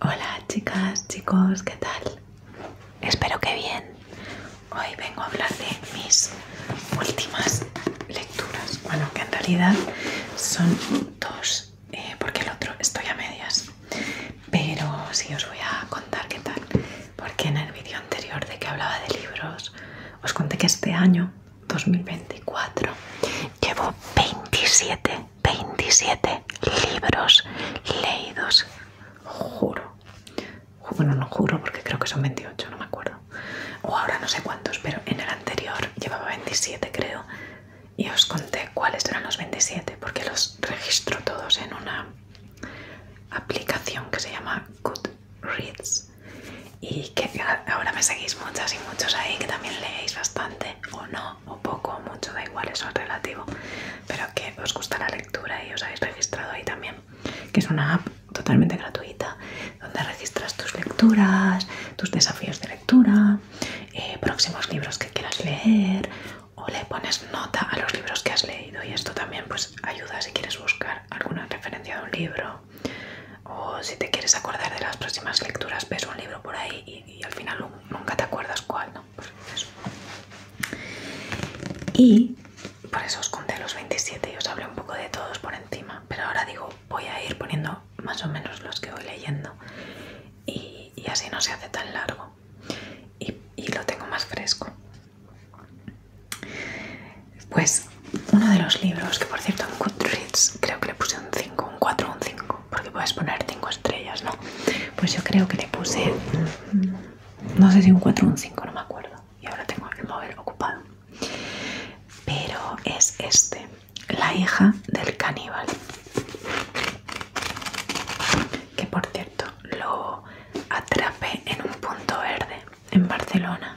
Hola chicas, chicos, ¿qué tal? Espero que bien. Hoy vengo a hablar de mis últimas lecturas. Bueno, que en realidad son dos, eh, porque el otro estoy a medias. Pero sí os voy a contar qué tal. Porque en el vídeo anterior de que hablaba de libros, os conté que este año, 2024, llevo 27 27 libros leídos. Juro. Bueno, no juro porque creo que son 28, no me acuerdo. O ahora no sé cuántos, pero en el anterior llevaba 27 creo. Y os conté cuáles eran los 27 porque los registro todos en una aplicación que se llama Goodreads. Y que ahora me seguís muchas y muchos ahí que también leéis bastante o no o poco o mucho, da igual, eso es relativo, pero que os gusta la lectura y os habéis registrado ahí también, que es una app totalmente gratuita donde registras tus lecturas, tus desafíos de lectura, eh, próximos libros que quieras leer o le pones nota a los libros que has leído y esto también pues ayuda si quieres buscar alguna referencia de un libro o si te quieres acordar de las próximas lecturas ves un libro por ahí y y, al final nunca te acuerdas cuál, ¿no? eso. Y por eso os conté los 27 y os hablé un poco de todos por encima, pero ahora digo, voy a ir poniendo más o menos los que voy leyendo y, así no se hace tan largo y, y lo tengo más fresco. Pues uno de los libros, que por cierto en Goodreads creo que le puse un 5, un 4 un 5, porque puedes poner 5 estrellas, ¿no? Pues yo creo que le puse, mm, no sé si un 4 o un 5, no me acuerdo. Y ahora tengo el móvil ocupado. Pero es este, la hija del caníbal. Que por cierto, lo atrapé en un punto verde, en Barcelona.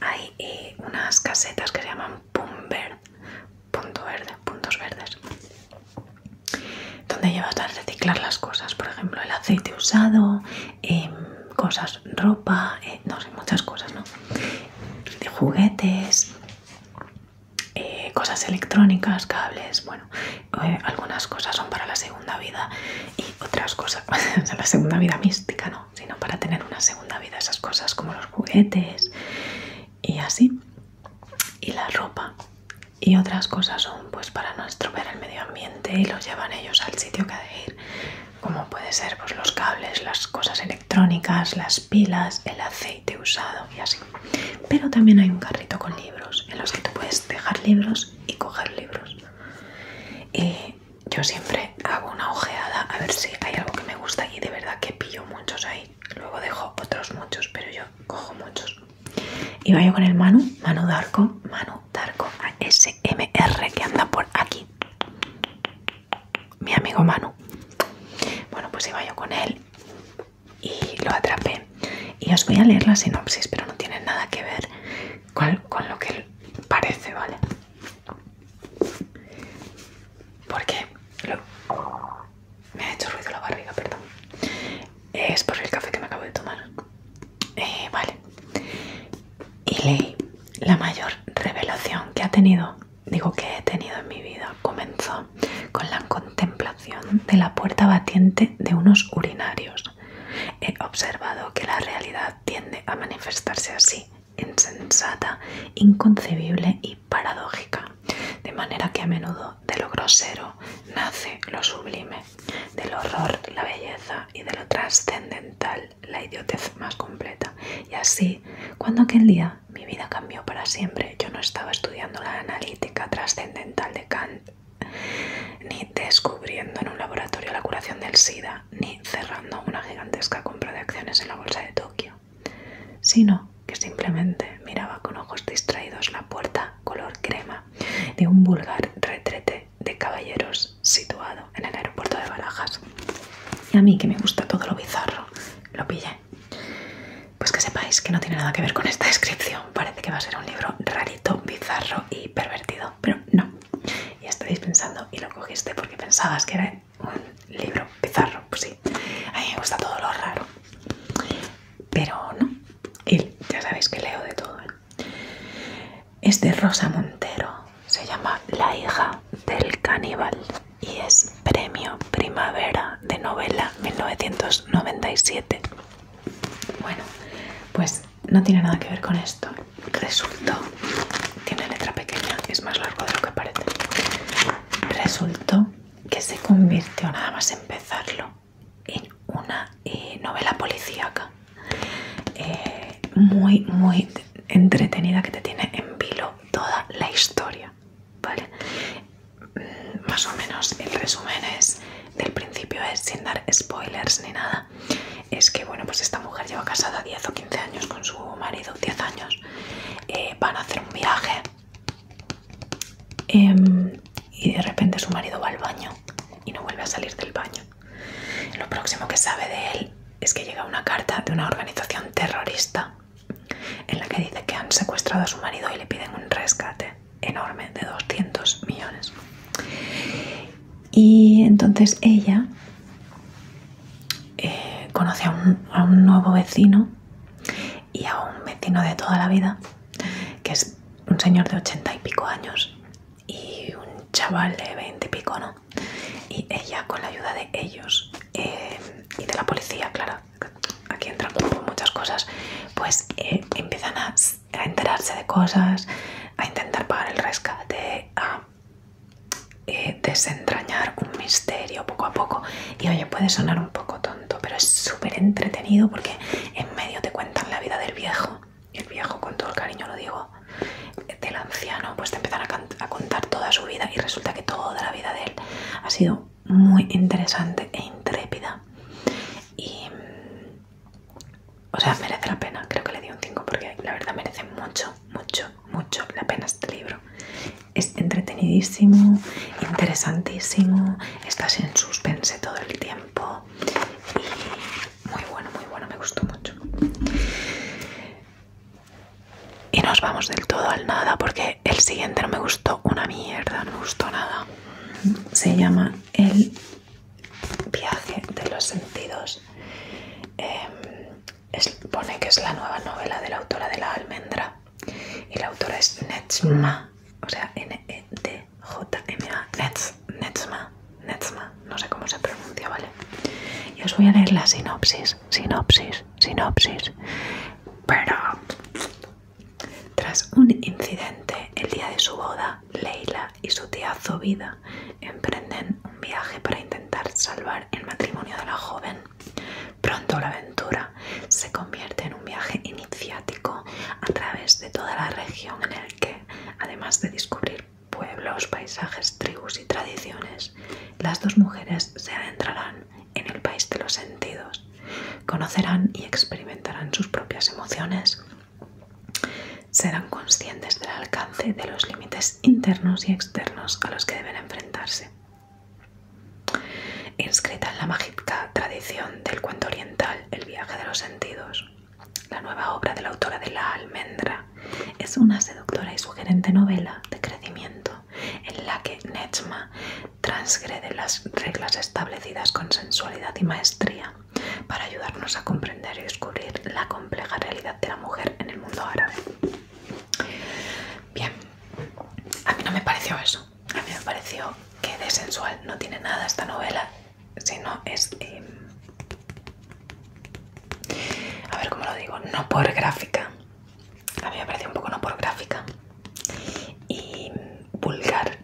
Hay eh, unas casetas que se llaman Pumber punto verde, puntos verdes donde llevas a reciclar las cosas, por ejemplo el aceite usado, em, cosas, ropa, eh, no sé, muchas cosas, ¿no? De juguetes, eh, cosas electrónicas, cables, bueno, eh, algunas cosas son para la segunda vida y otras cosas, o la segunda vida mística, ¿no? Sino para tener una segunda vida, esas cosas como los juguetes y así y la ropa y otras cosas son pues para no estropear el medio ambiente y los llevan ellos al sitio que hay de ir como puede ser pues los cables, las cosas electrónicas, las pilas, el aceite usado y así. Pero también hay un carrito con libros en los que tú puedes dejar libros y coger libros. Y yo siempre hago una ojeada a ver si hay algo que me gusta y de verdad que pillo muchos ahí luego dejo otros muchos, pero yo cojo muchos. Y yo con el Manu, Manu Darko, Manu Darko ASMR que anda por aquí. Mi amigo Manu. Bueno, pues iba yo con él y lo atrapé. Y os voy a leer la sinopsis, pero no tiene nada que ver con, lo que parece, ¿vale? Porque me ha hecho ruido la barriga, perdón. Es por el café que me acabo de tomar. Eh, vale. Y leí la mayor revelación que ha tenido, digo que he tenido en mi vida, comenzó con la contemplación de la puerta batiente de unos urinarios. He observado que la realidad tiende a manifestarse así, insensata, inconcebible y paradójica, de manera que a menudo de lo grosero nace lo sublime, del horror la belleza y de lo trascendental la idiotez más completa. Y así, cuando aquel día mi vida cambió para siempre, yo no estaba estudiando la analítica trascendental de Kant, ni descubriendo en un laboratorio la curación del SIDA, ni cerrando una gigantesca compra de acciones en la bolsa de Tokio sino que simplemente miraba con ojos distraídos la puerta color crema de un vulgar retrete de caballeros situado en el aeropuerto de Barajas. Y a mí, que me gusta todo lo bizarro, lo pillé. Pues que sepáis que no tiene nada que ver con esta descripción. Parece que va a ser un libro rarito, bizarro y pervertido, pero no. Y estáis pensando, y lo cogiste porque pensabas que era un libro, pizarro, pues sí. A mí me gusta todo lo raro. Pero no, y ya sabéis que leo de todo. este Es de Rosa Montero, se llama La hija del caníbal y es premio Primavera de novela 1997. Bueno, pues no tiene nada que ver con esto. Resultó, tiene letra pequeña, es más largo de lo que parece. Resultó que se convirtió nada más empezarlo en una eh, novela policíaca eh, muy muy entretenida que te tiene en vilo toda la historia vale mm, más o menos el resumen es del principio es sin dar spoilers ni nada es que bueno pues esta mujer lleva casada 10 o 15 años con su marido 10 años eh, van a hacer un viaje Em, y de repente su marido va al baño y no vuelve a salir del baño. Lo próximo que sabe de él es que llega una carta de una organización terrorista en la que dice que han secuestrado a su marido y le piden un rescate enorme de 200 millones. Y entonces ella eh, conoce a un nuevo vecino y a un vecino de toda la vida, que es un señor de 80 y pico años y un chaval de veinte y pico, ¿no? Y ella, con la ayuda de ellos eh, y de la policía, claro, aquí entran muchas cosas, pues eh, empiezan a, a enterarse de cosas, a intentar pagar el rescate, a eh, desentrañar un misterio poco a poco. Y oye, puede sonar un poco tonto, pero es súper entretenido porque en medio te cuentan la vida del viejo. El viejo, con todo el cariño lo digo, del anciano, pues te empiezan a, contar toda su vida y resulta que toda la vida de él ha sido muy interesante e intrépida. Y. O sea, merece la pena. Creo que le di un 5 porque la verdad merece mucho, mucho, mucho la pena este libro es entretenidísimo, interesantísimo, estás en suspense todo el tiempo y muy bueno, muy bueno, me gustó mucho. Y nos vamos del todo al nada porque el siguiente no me gustó una mierda, no me gustó nada. Se llama El viaje de los sentidos. Em, pone que es la nueva novela de la autora de La Almendra y la autora es Netzma, o sea, e N-E-D-J-M-A, Netzma, Netzma, no sé cómo se pronuncia, ¿vale? Y os voy a leer la sinopsis, sinopsis, sinopsis, pero... Tras un incidente el día de su boda, Leila y su tía Zovida emprenden un viaje para intentar salvar el matrimonio de la joven Pronto la aventura se convierte en un viaje iniciático a través de toda la región en el que, además de descubrir pueblos, paisajes, tribus y tradiciones, las dos mujeres se adentrarán en el país de los sentidos, conocerán y experimentarán sus propias emociones, serán conscientes del alcance de los límites internos y externos a los que deben enfrentarse. Inscrita en la mágica tradición del cuento oriental El viaje de los sentidos, la nueva obra de la autora de La almendra es una seductora y sugerente novela de crecimiento en la que Nechma transgrede las reglas establecidas con sensualidad y maestría para ayudarnos a comprender y descubrir la compleja realidad de la mujer en el mundo árabe. Bien, a mí no me pareció eso. A mí me pareció que de sensual no tiene nada esta novela, sino es... Em, a ver cómo lo digo, no por gráfica. A mí me pareció un poco no por gráfica. Y vulgar.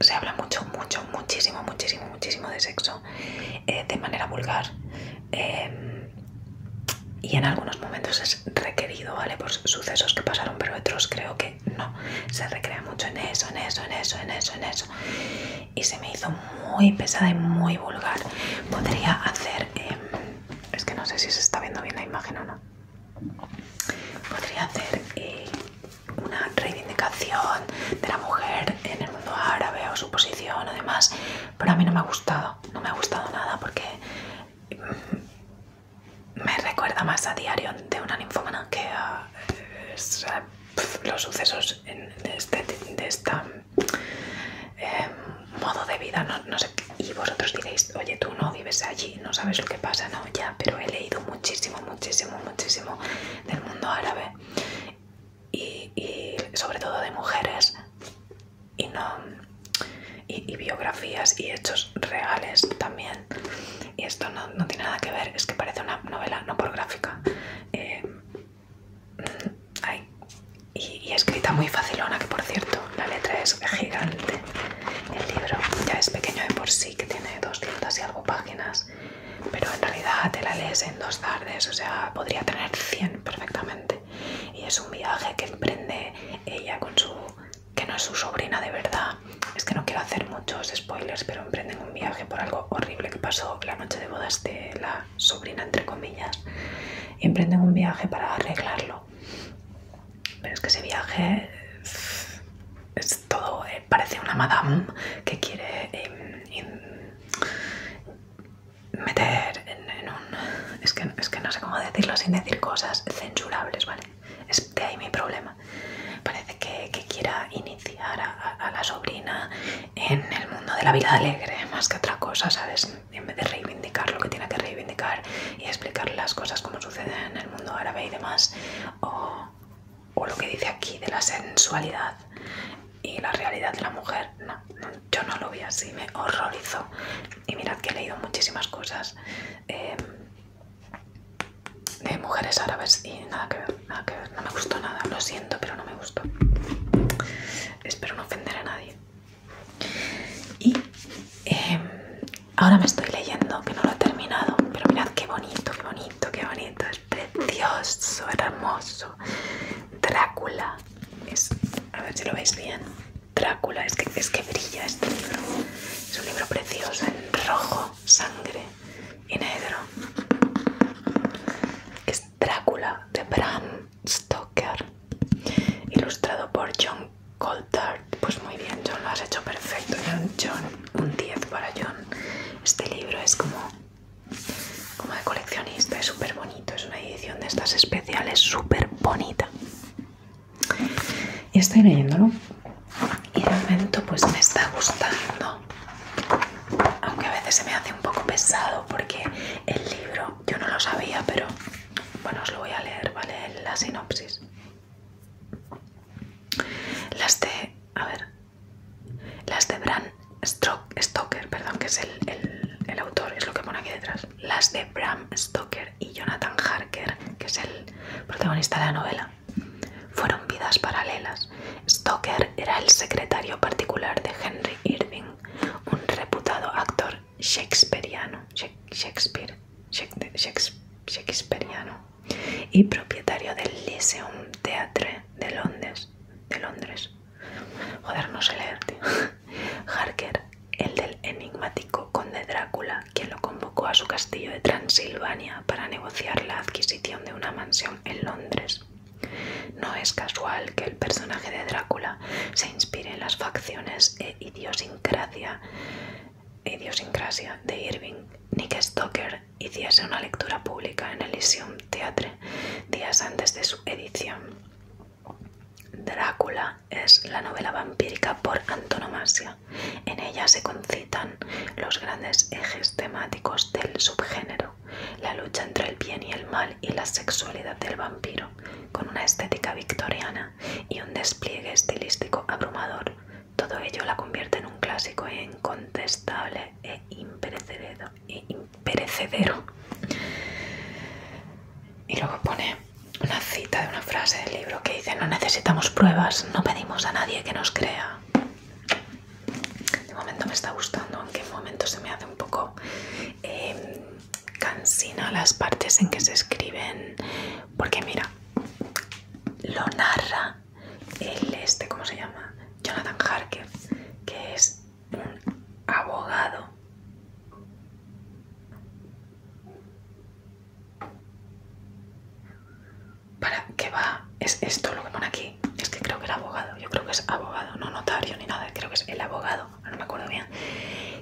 Se habla mucho, mucho, muchísimo, muchísimo, muchísimo de sexo eh, de manera vulgar. Em, y en algunos momentos es requerido, ¿vale? Por sucesos que pasaron, pero otros creo que no. Se recrea mucho en eso, en eso, en eso, en eso, en eso. Y se me hizo muy pesada y muy vulgar. Podría hacer... Em, es que no sé si se está viendo bien la imagen o no. Podría hacer eh, una reivindicación de la mujer en el mundo árabe o su posición o demás, pero a mí no me ha gustado no, me ha gustado nada porque me recuerda más a diario de una ninfómana que a, eh, los sucesos de este eh, modo de vida. No, sé, y vosotros diréis, oye, tú no vives allí, no sabes lo que pasa, no, ya, pero he leído muchísimo, muchísimo, muchísimo del mundo árabe y, y sobre todo de mujeres y no y, biografías y hechos reales también y esto no, tiene nada que ver es que parece una novela no por gráfica eh, y, escrita muy facilona que por cierto la letra es gigante el libro ya es pequeño de por sí que tiene doscientas y algo páginas pero en realidad te la lees en dos tardes o sea podría tener 100 perfectamente y es un viaje que emprende ella con su que no es su sobrina de verdad es que no quiero hacer muchos spoilers pero emprenden un viaje por algo horrible que pasó la noche de bodas de la sobrina entre comillas y emprenden un viaje para arreglarlo pero es que ese viaje es todo eh, parece una madame que quiere em, meter en, un... Es que, no sé cómo decirlo sin decir cosas censurables, ¿vale? Es de ahí mi problema. Parece que, quiera iniciar a, la sobrina en el mundo de la vida alegre, más que otra cosa, ¿sabes? En vez de reivindicar lo que tiene que reivindicar y explicarle las cosas como suceden en el mundo árabe y demás, o, lo que dice aquí de la sensualidad y la realidad de la mujer, yo no lo vi así, me horrorizó y mirad que he leído muchísimas cosas em, de mujeres árabes y nada que ver, nada que ver, no me gustó nada, lo siento, pero no me gustó. Espero no ofender a nadie. Y em, ahora me estoy leyendo, que no lo he terminado, pero mirad qué bonito, qué bonito, qué bonito, es precioso, hermoso. Drácula, es, a ver si lo veis bien. Drácula, es que, que brilla este libro. Es un libro precioso, en rojo, sangre y negro. Es Drácula de Bram Stoker, ilustrado por John Coulthard. Pues muy bien, John, lo has hecho perfecto. John, un 10 para John. Este libro es como, como de coleccionista, es súper bonito es una edición de estas especiales súper bonita. Y estoy leyéndolo y de momento pues me está gustando. Aunque a veces se me hace un poco pesado porque el libro, yo no lo sabía, pero bueno, os lo voy a leer, ¿vale? La sinopsis. Las de, a ver, las de Bran Stoker, perdón, que es el autor, es lo que pone aquí detrás las de Bram Stoker y Jonathan Harker, que es el protagonista de la novela. Fueron vidas paralelas. Stoker era el secretario particular de Henry Irving, un reputado actor shakespeareano, Shakespeare, y propietario del Lyceum Theatre de Londres. De Londres. Joder, no sé leer, Harker, el del enigmático conde Drácula, quien lo convocó a su castillo de Transilvania para negociar la adquisición de una mansión en Londres. No es casual que el personaje de Drácula se inspire en las facciones e idiosincrasia, de Irving. Nick Stoker hiciese una lectura pública en Elysium Theatre días antes de su edición. Drácula es la novela vampírica por antonomasia. En ella se concitan los grandes ejes temáticos del subgénero, la lucha entre el bien y el mal y la sexualidad del vampiro, con una estética victoriana y un despliegue estilístico abrumador. Todo ello la convierte en un clásico e incontestable e imperecedero. E perecedero. Y luego pone una cita de una frase del libro que dice, no necesitamos pruebas, no pedimos a nadie que nos crea. De momento me está gustando, aunque en momento se me hace un poco eh, cansina las partes en que se escriben, porque mira, lo narra el este, ¿cómo se llama? Jonathan Harker, que es un abogado para qué va es esto lo que pone aquí es que creo que el abogado yo creo que es abogado no notario ni nada creo que es el abogado no me acuerdo bien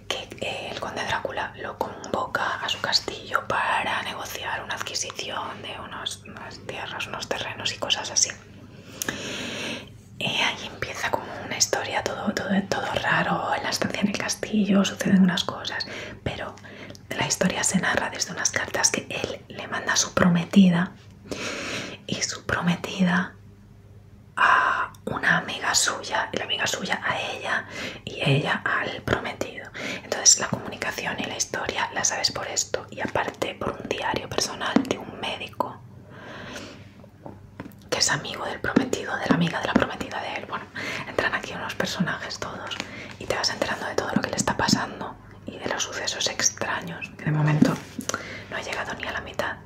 que eh, el conde Drácula lo convoca a su castillo para negociar una adquisición de unas tierras unos terrenos y cosas así y ahí empieza como una historia, todo, todo, todo raro, en la estancia en el castillo suceden unas cosas, pero la historia se narra desde unas cartas que él le manda a su prometida y su prometida a una amiga suya, y la amiga suya a ella y ella al prometido. Entonces la comunicación y la historia la sabes por esto y aparte por un diario personal de un médico que es amigo del prometido, de la amiga de la prometida de él. Bueno, entran aquí unos personajes todos y te vas enterando de todo lo que le está pasando y de los sucesos extraños, de momento no ha llegado ni a la mitad.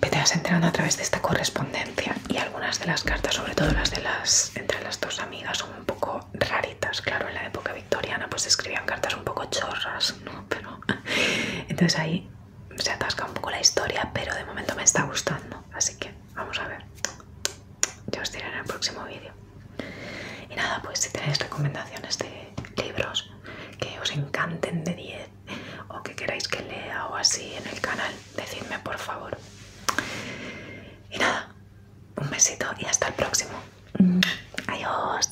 Pero te vas enterando a través de esta correspondencia y algunas de las cartas, sobre todo las de las entre las dos amigas, son un poco raritas. Claro, en la época victoriana pues escribían cartas un poco chorras, ¿no? Pero entonces ahí se atasca un poco la historia, pero de momento me está gustando. Así que vamos a ver. Yo os diré en el próximo vídeo. Y nada, pues si tenéis recomendaciones de libros que os encanten de 10 o que queráis que lea o así en el canal, decidme por favor. Y nada, un besito y hasta el próximo. Adiós.